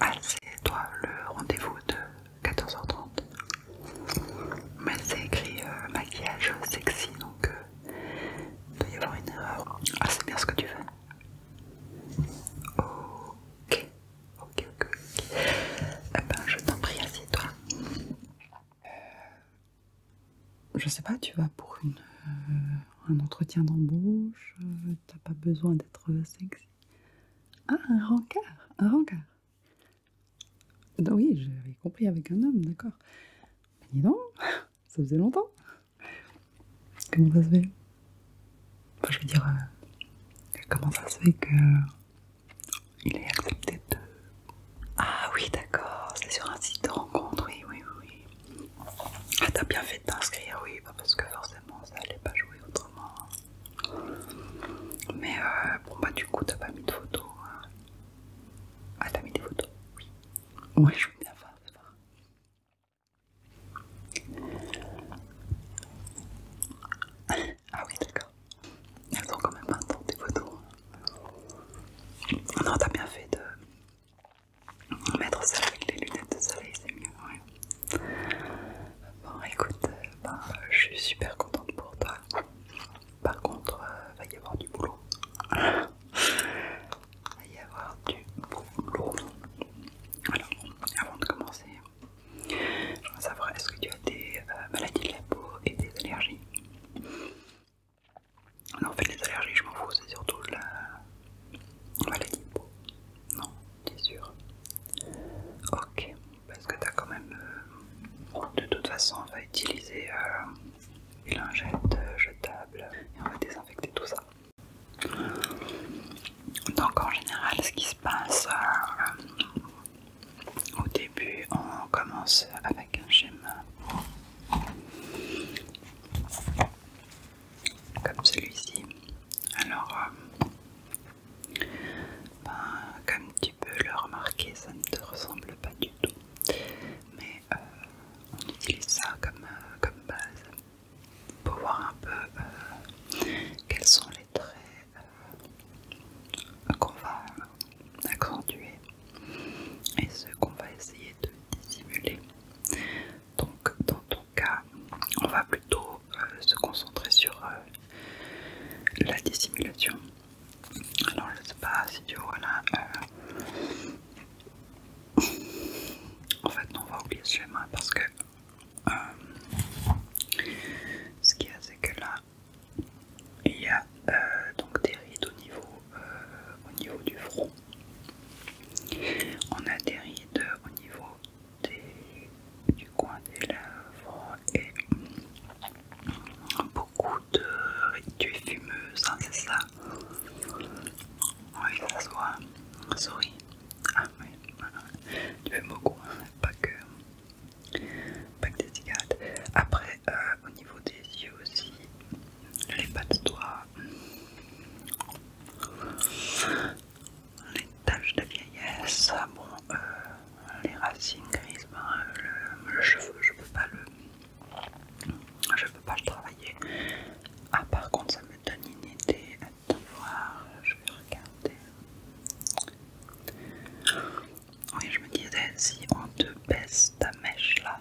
Ah, c'est toi le rendez-vous de 14h30. Mais c'est écrit euh, maquillage sexy donc euh, il y avoir une erreur. Ah, c'est bien ce que tu veux. Ok, ok, ok. Eh ben, je t'en prie, assieds-toi. Euh, je sais pas, tu vas pour une, euh, un entretien d'embauche, t'as pas besoin d'être sexy. Ah, un rencard Un rencard Oui, j'avais compris avec un homme, d'accord. Mais dis donc, ça faisait longtemps. Comment ça se fait Enfin, je veux dire, euh, comment ça se fait que... Il est accepté de... Ah oui, d'accord, c'est sur un site de rencontre, oui, oui, oui. Ah, t'as bien fait de t'inscrire, oui, bah, parce que forcément, ça allait pas jouer autrement. Mais euh, bon bah du coup t'as pas mis de photos. Hein. Ah t'as mis des photos Oui. Ouais je veux bien faire, Ah oui d'accord. Elles ont quand même 20 ans tes photos. Hein. Non t'as bien fait de Mettre ça avec les lunettes de soleil, c'est mieux, Bon, écoute, euh, ben, je suis super contente pour toi. Par contre, il euh, va y avoir du boulot. va y avoir du boulot. Alors, avant de commencer, je voudrais savoir est-ce que tu as des euh, maladies de la peau et des allergies non, en fait, les allergies, je m'en fous, c'est surtout la maladie de peau. Non, t'es sûr Ok, parce que t'as quand même... Euh, de toute façon, on va utiliser les euh, lingettes jetables euh, jetable et on va désinfecter tout ça. Donc en général, ce qui se passe au début, on commence avec un schéma comme celui-ci. Alors, euh, ben, comme tu peux le remarquer, ça ne te ressemble pas du tout. Mais euh, on utilise ça comme, euh, comme base pour voir un peu quels sont les traits qu'on va accentuer et ceux qu'on va essayer de dissimuler. Donc dans ton cas, on va plutôt euh, se concentrer sur euh, la dissimulation. Alors je sais pas si tu vois là... Euh, en fait non, on va oublier ce schéma parce que... Ce qu'il y a c'est que là, il y a donc des rides au niveau, au niveau du front. On a des rides au niveau du coin des lèvres et beaucoup de ridues fumeuses, hein, c'est ça Oui, ça se voit. Souris. Ah oui, tu fumes beaucoup, hein, pas, que, pas que des cigarettes. Après, euh, au niveau des yeux aussi, les pattes doigts. Les taches de vieillesse, ah euh, les racines grises, ben, euh, le, cheveu, je peux pas le, je peux pas le travailler. Ah, par contre, ça me donne une idée. Attends voir, je vais regarder. Oui, je me disais, si on te baisse ta mèche là,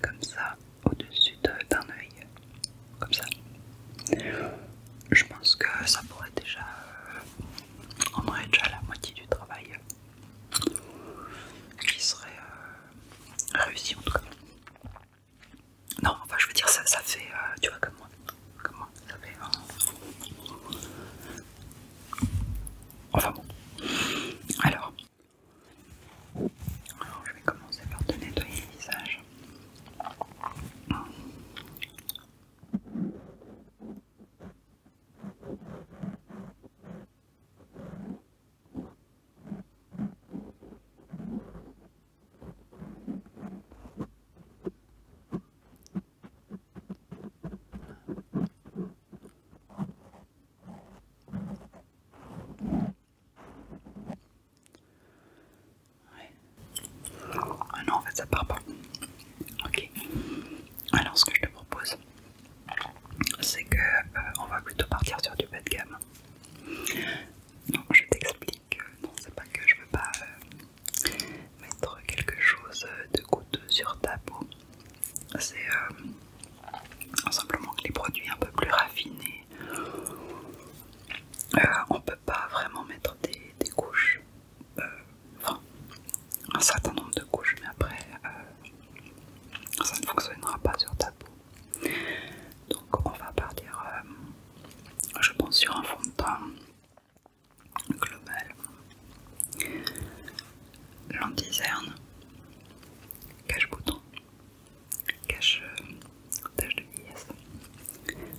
comme ça au-dessus d'un œil, comme ça. Je pense que ça pourrait déjà. Euh, on aurait déjà la moitié du travail qui serait euh, réussi en tout cas. Non, enfin je veux dire, ça, ça fait, euh, tu vois, comme moi, comme moi, ça fait. Enfin bon. Alors, alors, je vais commencer par te nettoyer le visage. Ouais. Ah non, en fait, ça part pas. Ok. Alors, ce que je te propose, c'est que euh, on va plutôt partir sur du bas de gamme. Non, je t'explique. Non, c'est pas que je veux pas euh, mettre quelque chose euh, de goutteux sur ta peau c'est euh, simplement que les produits un peu plus raffinés, euh, on peut pas vraiment mettre des, couches, euh, enfin un certain nombre de couches, mais après ça ne fonctionnera pas sur ta peau. Donc on va partir, je pense, sur un fond de teint global. L'antizerne, cache-bouton, cache tâche euh, de vieillesse,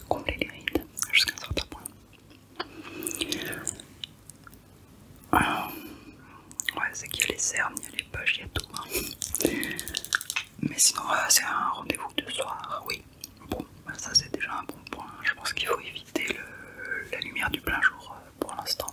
combler les rides jusqu'à un certain point. Euh, ouais, c'est qu'il y a les cernes, il y a les poches, il y a tout. Hein. Mais sinon, euh, c'est un rendez-vous de soir, oui. Bon, bah, ça c'est déjà un bon point. Je pense qu'il faut éviter la lumière du plein jour pour l'instant.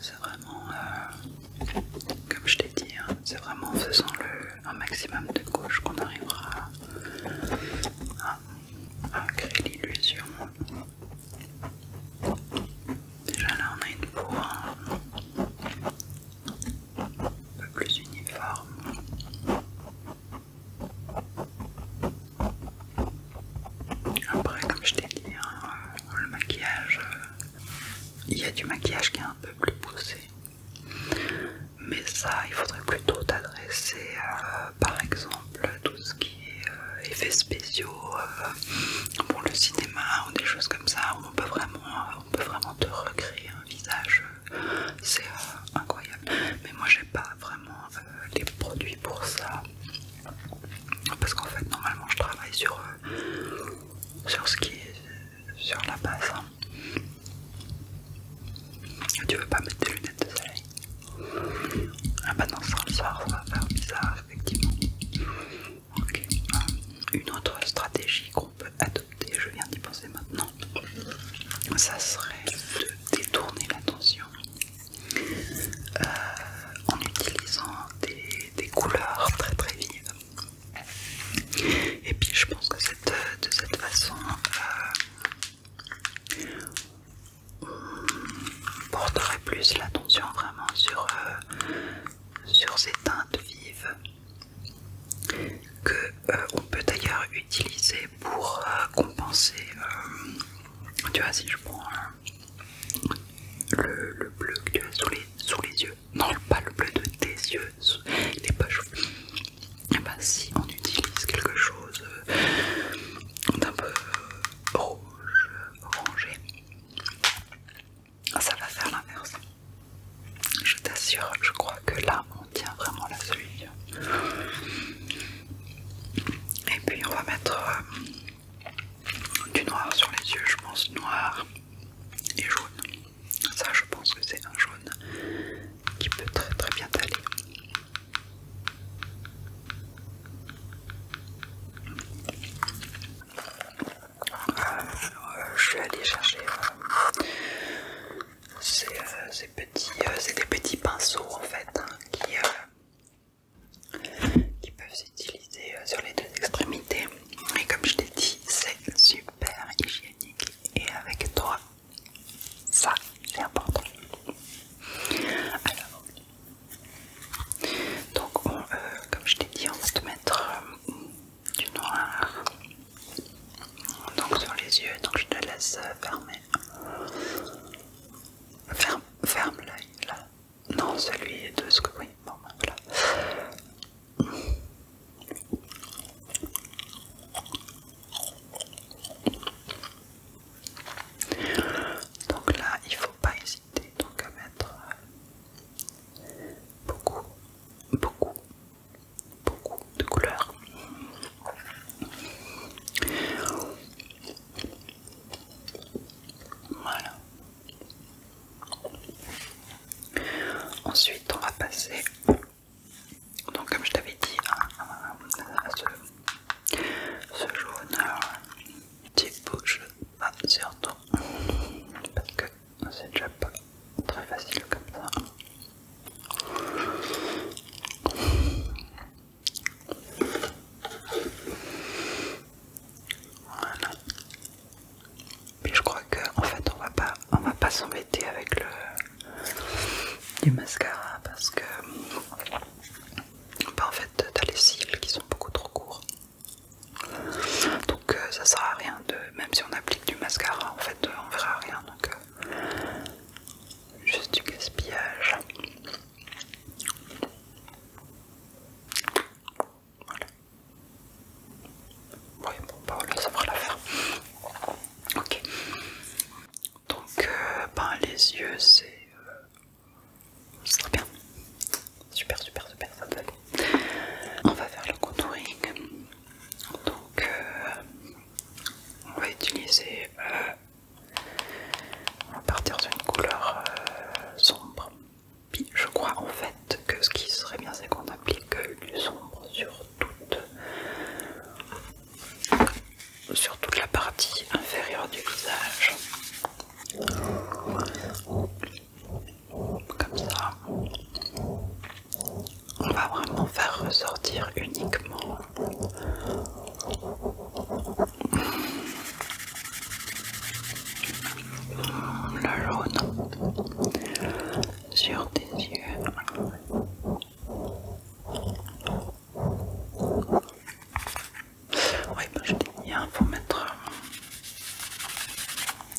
C'est vraiment, euh, comme je t'ai dit, hein, c'est vraiment en faisant le, un maximum de gauche qu'on arrivera à créer l'illusion. Déjà là on a une peau hein, un peu plus uniforme. Après, comme je t'ai dit, hein, le maquillage, il y a du maquillage qui est un peu plus poussé. Mais ça, il faudrait plutôt t'adresser euh, par exemple tout ce qui est euh, effets spéciaux euh, pour le cinéma ou des choses comme ça où on peut vraiment, on peut vraiment te recréer un visage. C'est incroyable. Mais moi, j'ai pas vraiment les produits pour ça. Parce qu'en fait, normalement, je travaille sur, euh, sur ce qui est sur la base. Hein. Tu veux pas mettre des lunettes de soleil Ah bah non, le soir, ça va faire bizarre, effectivement. Ok. Hein. Une autre stratégie qu'on peut adopter, je viens d'y penser maintenant, ça serait de détourner l'attention euh, en utilisant des, couleurs très très vives. Et puis je pense que de cette façon, euh, on porterait plus l'attention vraiment sur, euh, sur ces teintes vives que on peut d'ailleurs utiliser pour compenser. tu vois, si je prends le, bleu que tu as sous les, yeux, non pas le bleu de tes yeux, il pas Et bah si on utilise quelque chose euh, d'un peu euh, rouge, orangé, ça va faire l'inverse. Je t'assure, je crois que là on tient vraiment la solution. Et puis on va mettre euh, du noir sur les yeux, je pense noir et jaune. Ça, je pense que c'est un jaune qui peut très très bien t'aller. Euh, euh, je suis allé chercher euh, ces, petits, des petits pinceaux en fait hein, qui, qui peuvent s'utiliser euh, sur les deux extrémités. Et comme je t'ai dit, c'est super hygiénique et avec toi, ça c'est important. Alors, donc euh, comme je t'ai dit, on va te mettre euh, du noir donc sur les yeux, donc je te laisse fermer. Ferme, l'œil là. Non, celui est de ce que oui. Bon, ben, voilà. Donc là, il faut pas hésiter donc à mettre euh, beaucoup, beaucoup, beaucoup de couleurs. Voilà. Ensuite, on va passer, donc comme je t'avais dit, à, ce, jaune type euh, bouche pas toi, parce que c'est déjà pas très facile comme ça. Voilà. je crois que en fait on va pas on va pas s'embêter avec le du mascara parce que bah, en fait t'as les cils qui sont beaucoup trop courts. Donc euh, ça sert à rien de même si on applique du mascara en fait on verra rien donc euh, juste du gaspillage. Voilà. Oui, bon, bah voilà, ça fera l'affaire. Ok. Donc, euh, ben, les yeux, c'est. très euh, bien. Super, super, super, ça me va On va faire le contouring. Donc, euh, on va utiliser on va partir d'une couleur euh, sombre. Puis je crois en fait que ce qui serait bien c'est qu'on applique du sombre sur toute, sur toute la partie inférieure du visage. Comme ça on va vraiment faire ressortir uniquement le jaune sur tes yeux. Oui, bah, je t'ai mis, un hein, pour mettre.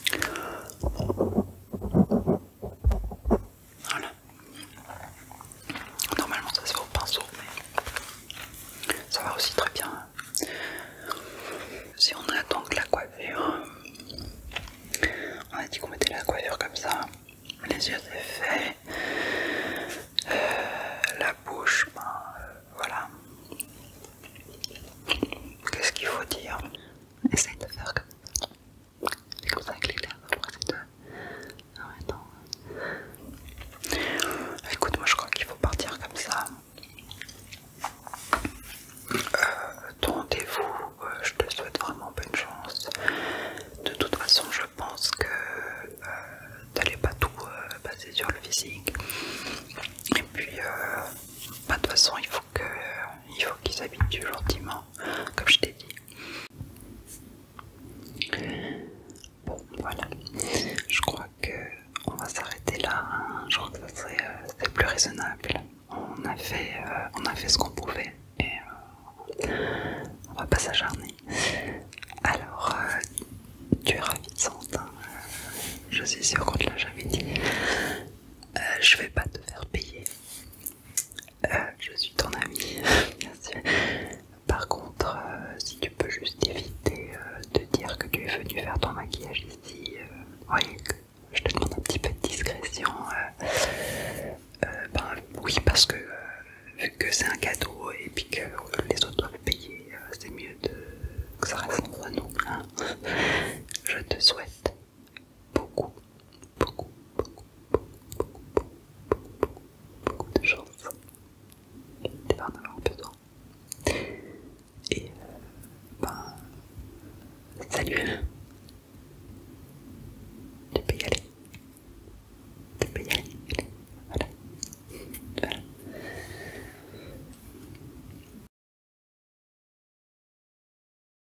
Euh, voilà. Normalement ça se fait au pinceau, mais ça va aussi très bien. Hein. Si on a donc la coiffure, on a dit qu'on mettait la coiffure comme ça, les yeux c'est fait, euh, la bouche, ben, euh, voilà. Qu'est-ce qu'il faut dire Essaye de faire comme ça. C'est comme ça avec les lèvres, c'est ah Non, Écoute, moi je crois qu'il faut partir comme ça. Euh, ton rendez-vous, euh, je te souhaite vraiment bonne chance. De toute façon, je pense que tu euh, t'allais pas tout passer sur le physique. Et puis, bah, de toute façon, il faut qu'ils habitent qu'ils gentiment, comme je t'ai dit. Bon, voilà. Je crois que on va s'arrêter là. Hein. Je crois que ça serait euh, plus raisonnable. On a fait, euh, on a fait ce qu'on pouvait et euh, on va pas s'acharner. Alors, tu es de hein. Je suis sûre qu'on te l'a jamais dit. je vais pas te faire payer. Euh, je suis ton ami. bien sûr. Par contre, euh, si tu peux juste éviter euh, de dire que tu es venu faire ton maquillage ici, oui, je te demande un petit peu de discrétion. Ben, oui, parce que vu que c'est un cadeau et puis que les autres doivent payer, c'est mieux de... que ça reste entre nous. Hein. Je te souhaite beaucoup, beaucoup, beaucoup, beaucoup, beaucoup, beaucoup, beaucoup de chance. avoir Et bah salut. Tu peux y aller. Tu peux Voilà. voilà.